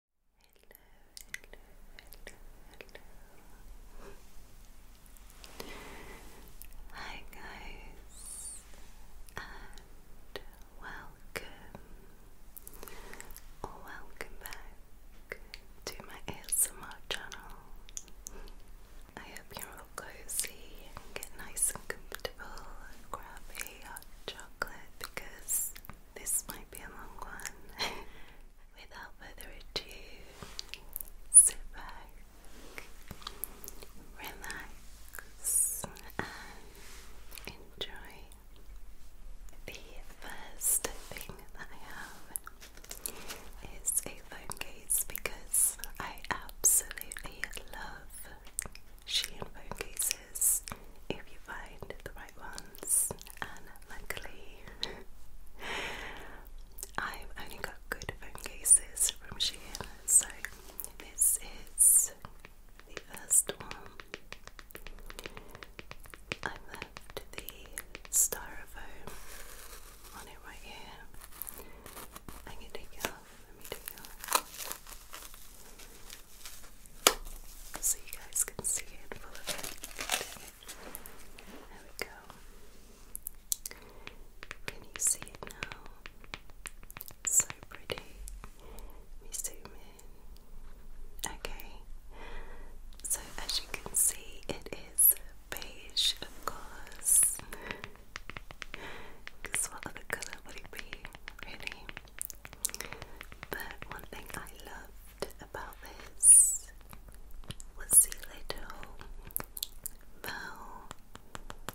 hello. Hi guys, and welcome welcome back to my ASMR channel. I hope you're all cozy get nice and comfortable grab a hot chocolate because this might be a long one. Without further ado, sit back, relax, and enjoy. The first thing that I have is a phone case because I absolutely love Shein phone cases pieces if you find the right ones, and luckily, I've only got good phone cases from Shein, so this is the first one. I left the styrofoam on it right here. I can take it off. Let me take it off so you guys can see it There we go. Can you see it now? so pretty. Let me zoom in. Okay. So as you can see, it is beige, of course. Because what other colour would it be, but one thing I loved about this was the little bow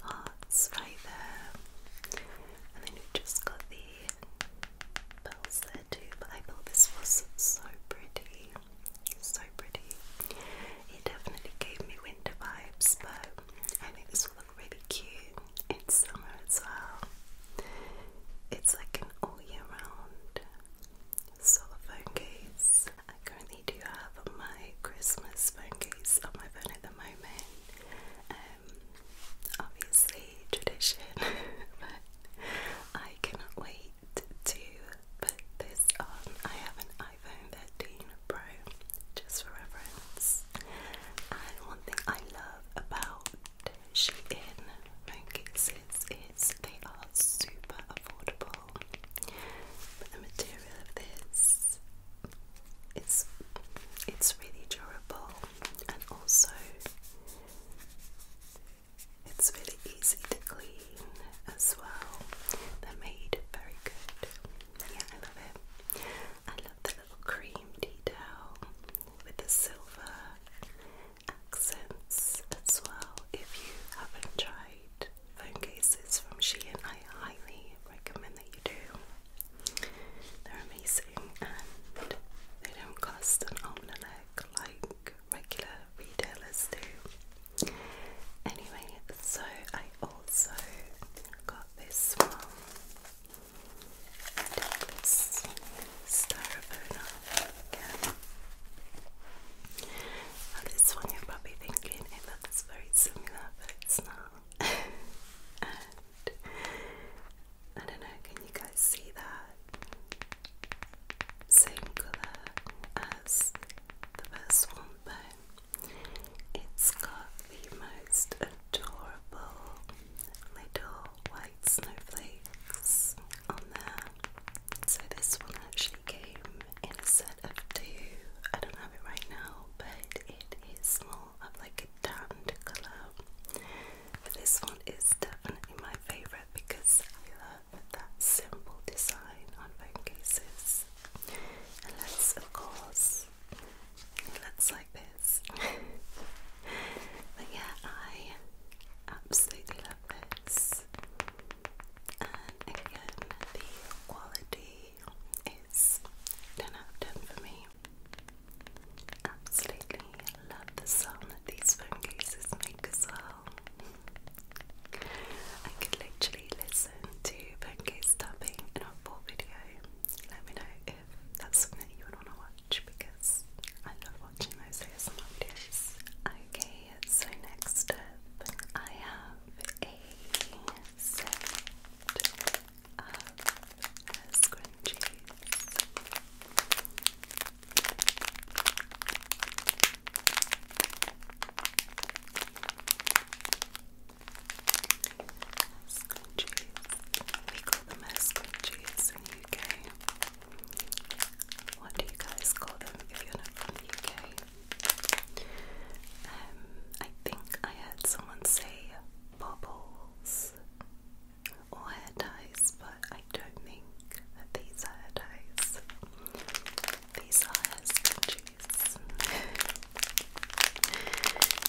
hearts right there. And then you just got the bells there too. But I thought this was so pretty. So pretty. It definitely gave me winter vibes, but I think this look really cute in summer as well. It's like an all year round sort case. I currently do have my Christmas phone case on my phone at the moment. Um, obviously, tradition, but I cannot wait to put this on. I have an iPhone 13 Pro just for reference. And one thing I love about Shein, like it says, they are super affordable. But the material of this, it's it's really durable, and also it's really easy to clean as well. They're made very good. Yeah, I love it. I love the cream detail with the silver accents as well. If you haven't tried phone cases from Shein, I highly recommend that you do. They're amazing and they don't cost an arm and a leg like regular retailers do. Anyway, so I also got this one this one you're probably thinking it looks very similar, but it's not. I don't know, can you guys see that? Same colour as the first one, but it's got the most adorable little white snowflakes on there. So this one actually came in a set of two. I don't have it right now, but it is small of like a tanned colour. But this one is definitely my favourite because I love that simple design on phone cases. And let of course this. It looks like this. but yeah, I absolutely love this. And again, the quality is 10 out 10 for me. Absolutely love the sound that these phone cases make as well. I could literally listen to phone case tapping in a full video. Let me know that's something that you would want to watch because I love watching those ASMR videos. Okay, so next I have a set of scrunchies. Scrunchies. We call them as in the UK. What do you guys call them if you're not from the UK? Um, I think I heard someone say bubbles or hair ties, but I don't think these are ties. These are hair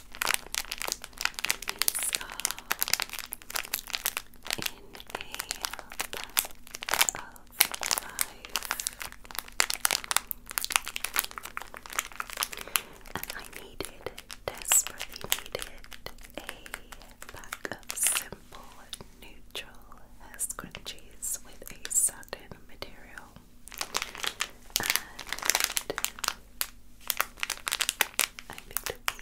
is uh, in a bag of five, and I needed, desperately needed, a pack of simple neutral hair scrunchies with a satin material. And I picked up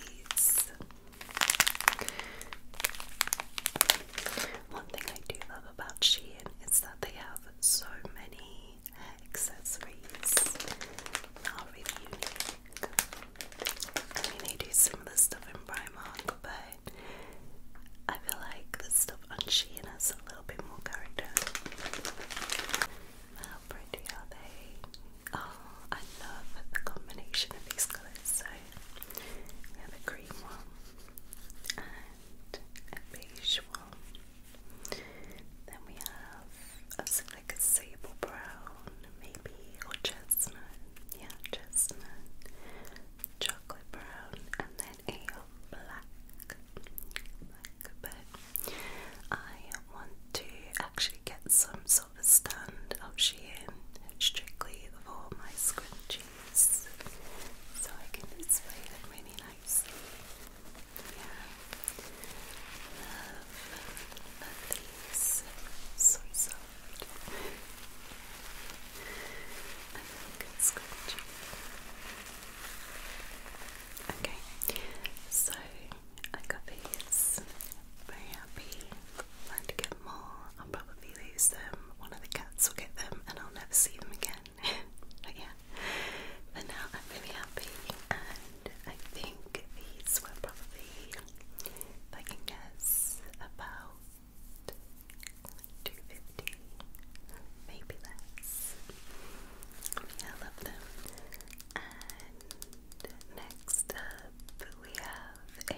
One thing I do love about Shein is that they have so many accessories are really unique. I mean, they do similar stuff in Primark, but I feel like the stuff on Shein has a little bit more character how pretty are they? Oh, I love the combination of these colors. So we have a green one and a beige one. Then we have a, like a sable brown, maybe, or chestnut. Yeah, chestnut. Chocolate brown, and then a Black but I want to actually get some sort of stand of Shein strictly for my scrunchies so I can display them really nicely. Yeah. Love these. So soft. I think it's Okay, so I got these. Very happy. Plan to get more. I'll probably lose them. One of the cats will get them, and I'll never see them again. but but now I'm really happy, and I think these were probably, I can guess, about. 250 maybe less. I love them. And next up, we have a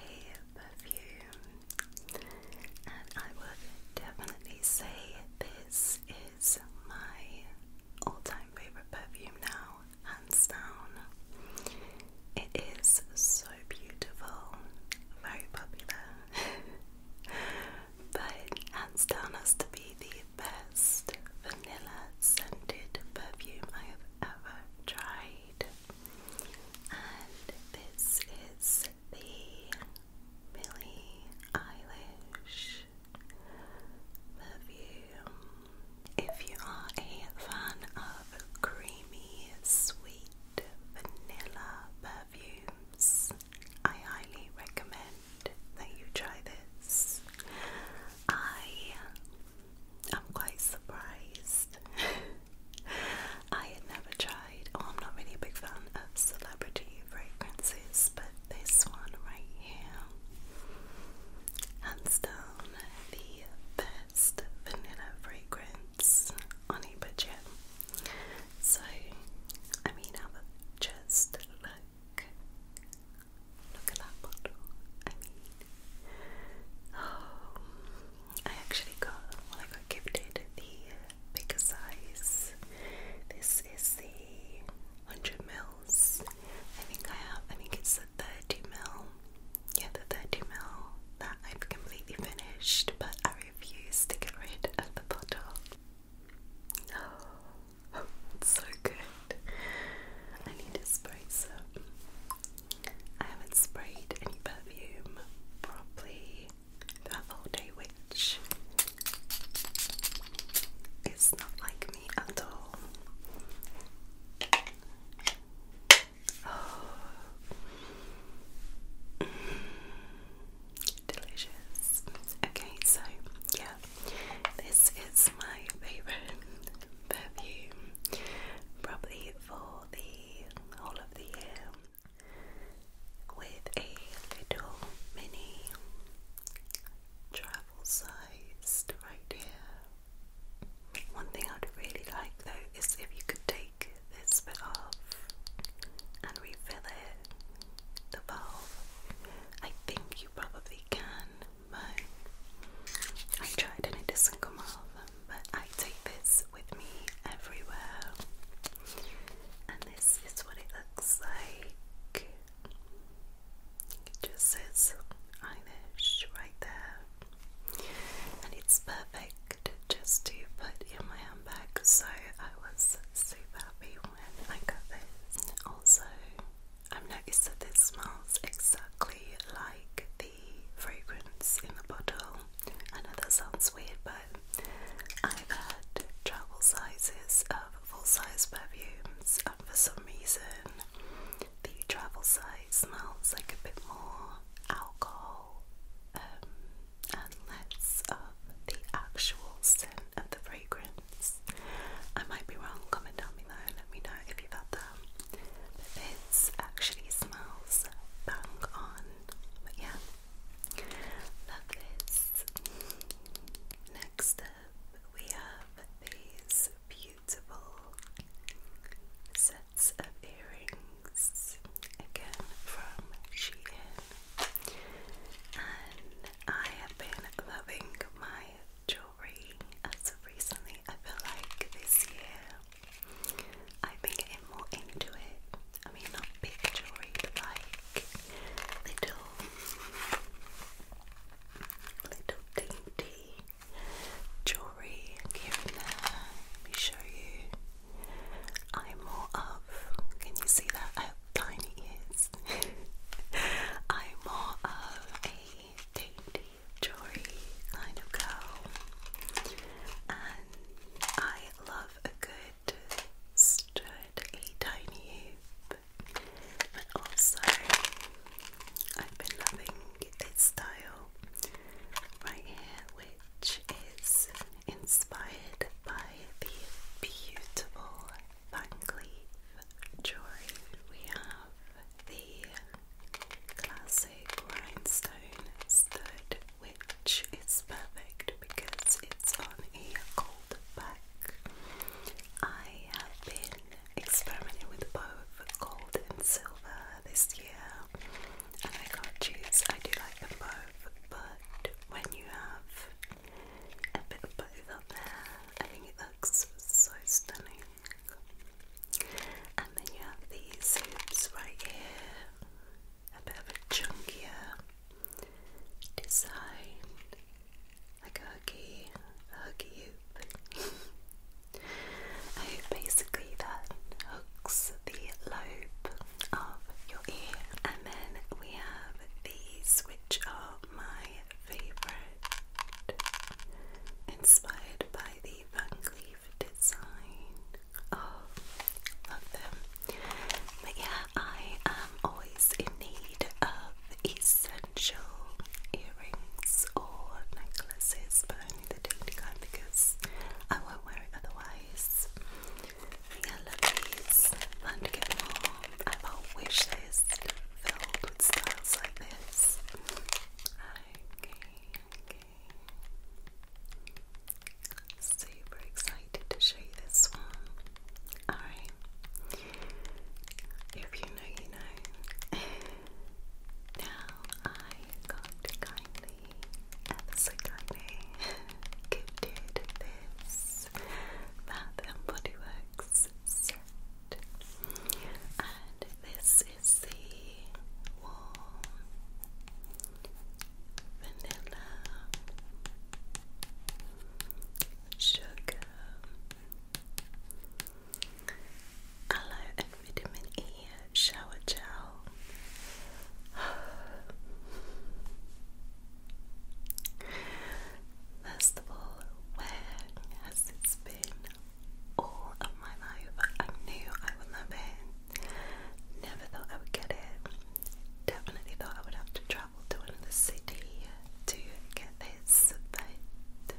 perfume, and I would definitely say this is my all-time favorite perfume now, hands down. It is so beautiful, very popular. but hands down has to be the best vanilla scented perfume I have ever tried. And this is the Billie Eilish perfume. If you are a fan of creamy, sweet vanilla perfumes, I highly recommend that you try this. I am quite surprised. I had never tried, oh, I'm not really a big fan of celebrity fragrances, but this one right here, hands down, the best vanilla fragrance on a budget. So, I mean, i am just look Look at that bottle. I mean, oh, I actually got, well, I got gifted the uh, bigger size. This is the 100 mils. I think I have, I think it's the 30 mil. Yeah, the 30 mil that I've completely finished, but I refuse to get rid of the bottle. Oh, it's so good. I need to spray some. I haven't sprayed any perfume probably that whole day, which is not like me at all. Mm. Delicious. Okay, so yeah, this is my favourite perfume, probably for the whole of the year, with a little mini travel sized right here. One thing I'd really like though is if you could take this bit off and refill it the valve. I think you probably can, but I tried and it doesn't come off. But I take this with me everywhere, and this is what it looks like. It just says eyelash right there, and it's perfect just to put in my handbag. So I was super happy I got this. Also, I've noticed that this smells exactly like the fragrance in the bottle. I know that sounds weird, but I've had travel sizes of full size perfumes, and for some reason, the travel size smells like a bit more alcohol um, and less of the actual scent of the fragrance. I might be wrong, comment down below let me know if you've had that. this actually smells bang on. But yeah, love this. Next up, we have these beautiful sets of earrings again from Shein and I have been loving my jewelry as recently. I feel like this year I've been getting more into it. I mean, not big jewelry, like little, little dainty jewelry here and there. Let me show you. I'm more of, can you see that? I have I'm more of a dainty, jory kind of girl. And I love a good stirred, a tiny hoop. But also, I've been loving this style right here, which is inspired by the beautiful Fancleave jewelry. We have the classic rhinestone which is perfect because it's on a gold back. I have been experimenting with both gold and silver this year, and I can't I do like them both but when you have a bit of both up there, I think it looks so stunning. And then you have these hoops right here, a bit of a chunkier design, like a huggy, huggy hoop. I basically that hooks the lobe of your ear. And then we have these, which are my favourite, inspired by the Van Cleef design. Oh, them. But yeah, I am always in need of essential earrings or necklaces, but only the dainty kind because I won't wear it otherwise. I love these. Fun to get mom. I have wish list filled with styles like this. Okay, okay. Super excited to show you this one. Alright. If you know, you know. now I got kind Epsigone gifted this Bath and Body Works And this is the warm vanilla sugar aloe and vitamin E shower gel First of all, where has this been all of my life? I knew I would love it. Never thought I would get it. Definitely thought I would have to travel to another city to get this, but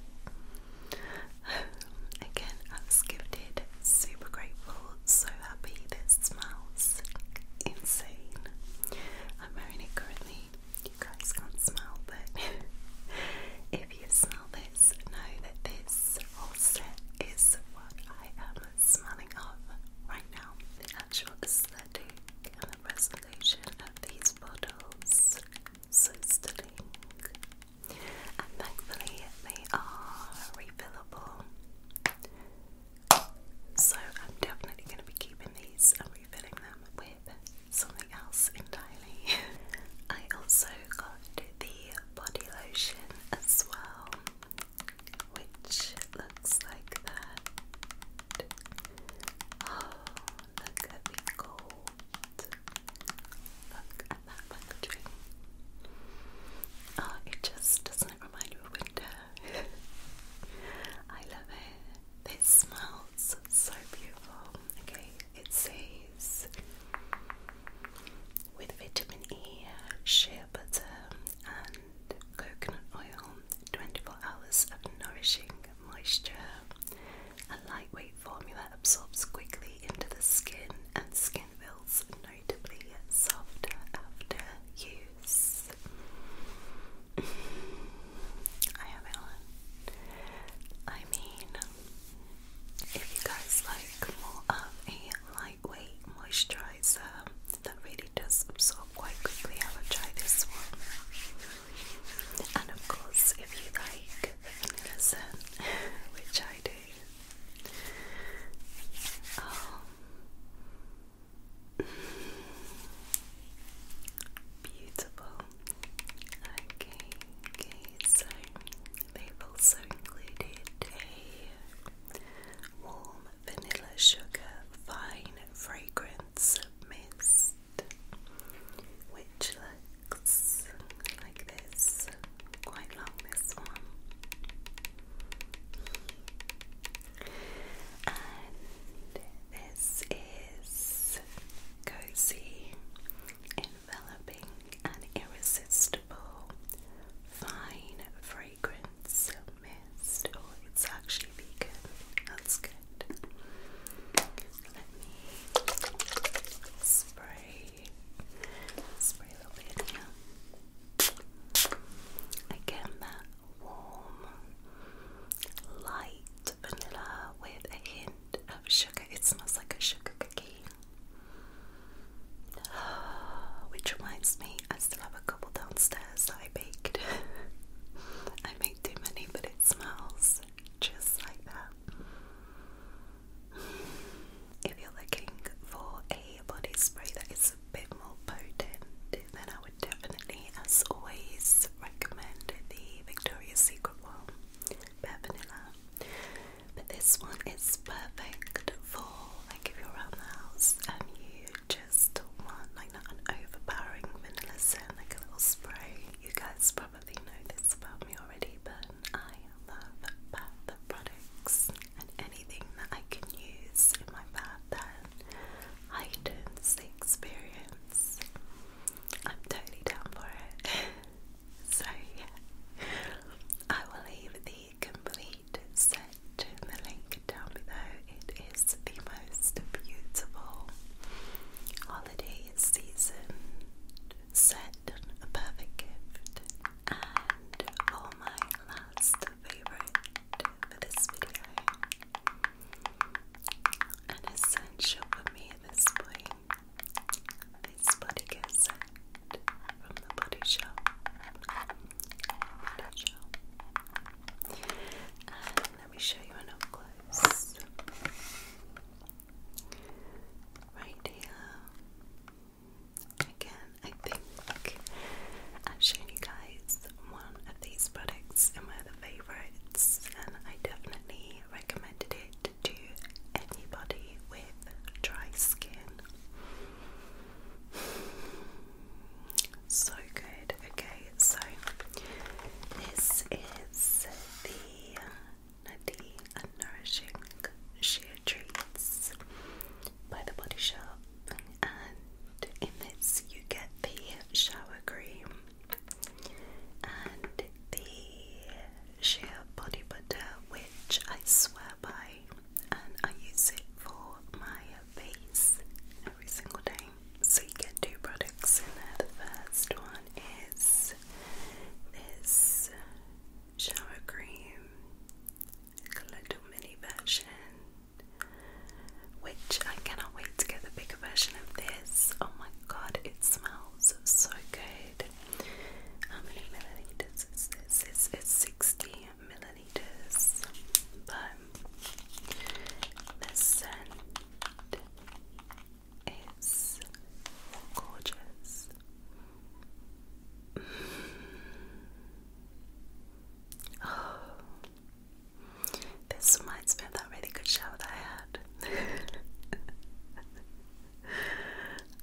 again, I was gifted, super grateful, so puppy smells insane. I'm wearing it currently. You guys can't smell, but if you smell this, know that this whole set is what I am smelling of right now. The actual aesthetic and resolution of these bottles, so stunning. And thankfully, they are refillable. So I'm definitely going to be keeping these and refilling them with something else entirely. I also got the body lotion as well, which looks like that. Oh, look at the gold. Look at that packaging. Oh, it just doesn't it remind you of winter? I love it. It smells so beautiful. Okay, it says with vitamin E, shea butter, and coconut oil, 24 hours of nourishing moisture. A lightweight formula absorbs quickly into the skin and skin feels notably softer after use. I have it I mean, if you guys like more of a lightweight moisturizer that really does absorb quite quickly, I will try this one. And of course, if you like vanilla scent, which I do, oh, Beautiful. Okay, okay, so they've also included a warm vanilla sugar fine fragrance mist, which looks like this quite love this one. And this is Cozy, enveloping and irresistible fine fragrance mist. Oh, it's actually vegan. That's good. Let me spray spray a little bit here. Again, that warm, light vanilla with a hint of sugar. It smells like a sugar cookie. Which reminds me, I still have a couple downstairs that I baked. I make too many, but it smells just like that. If you're looking for a body spray that is a bit more potent, then I would definitely, as always, recommend the Victoria's Secret one, Bare Vanilla. But this one is perfect for like if you're around the house and you just want like not an overpowering vanilla scent, like a little spray. You guys probably know this about me already, but I love bath products and anything that I can use in my bath that heightens the experience. I'm totally down for it. so, yeah, I will leave the complete set in the link down below. It is the most beautiful holiday season set a perfect gift and for my last favorite for this video, an essential for me at this point, this body care from the Body Shop. let me show you an up close. Right here. Again, I think I've shown you guys one of these products in one of the favourites, and I definitely recommended it to anybody with dry skin. So good. Okay, so this is the Nadine and nourishing sheer treats by The Body Shop. And in this, you get the shower cream and the sheer body butter, which I swear by, and I use it for my face every single day. So you get two products in there. The first one is this shower cream, little mini version, which I cannot wait to get the bigger version of this. Oh my god, it smells so good. How many milliliters is this? it's 60 milliliters, but the scent is gorgeous. Oh, this reminds me of that really good shower that I had.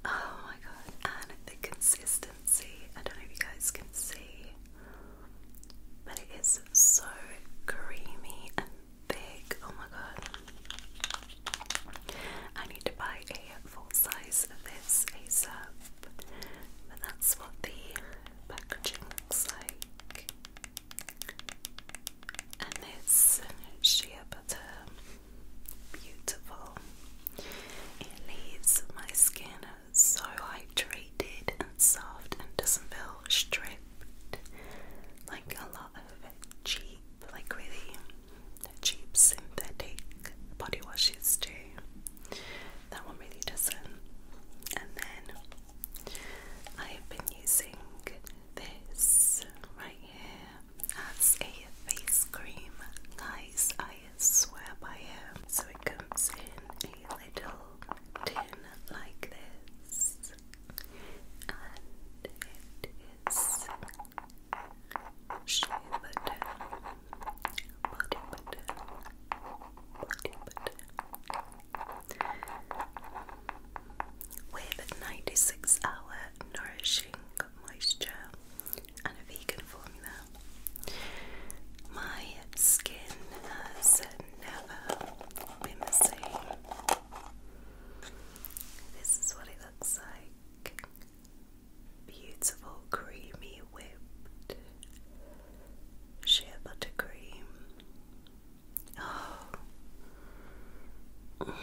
oh my god, and the consistency. I don't know if you guys can see, but it is so creamy and thick. Oh my god. I need to buy a full size of this ASAP, but that's what the packaging looks like. And it's sheer butter, beautiful. It leaves my skin so hydrated and soft and doesn't feel stripped like a lot of cheap like really cheap synthetic body washes too. That one really doesn't. And then I've been using this right here as a face cream. Guys, I swear by it. So it comes in a little tin like this. And it is Shea button, body With 96 hour nourishing moisture and a vegan formula, my skin has never been the same. This is what it looks like Beautiful creamy whipped sheer buttercream. Oh. Mm.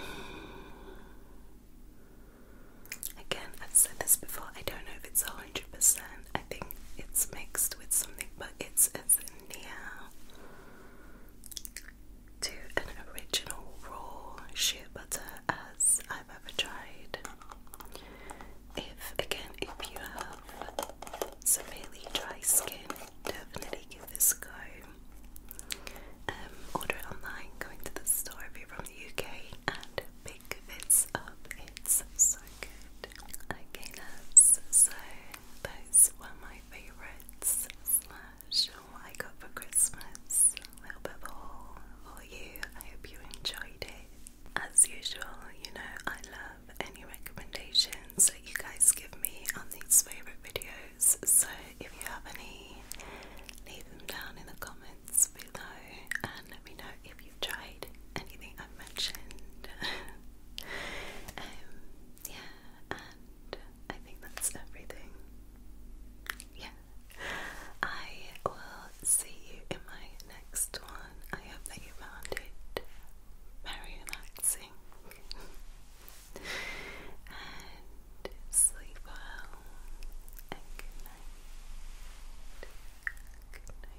Again, I've said this before. I don't know if it's hundred percent. I think it's mixed with something, but it's as near to an original raw shea butter as I've ever tried. If again, if you have severely dry skin, definitely give this a go. Um, order it online, going to the store if you're from the UK, and pick this up. It's so good. Okay, loves, so those were my favourites much I got for Christmas. A little bit of all, all you. I hope you enjoyed it. As usual, you know I love any recommendations that you guys give me on these favourite videos. So if you have any, leave them down in the comments below and let me know if you've tried anything I've mentioned. Um, yeah, I think that's everything. Yeah. I will see you in my next one. I hope that you found it very relaxing. and sleep well. And good night. Good night.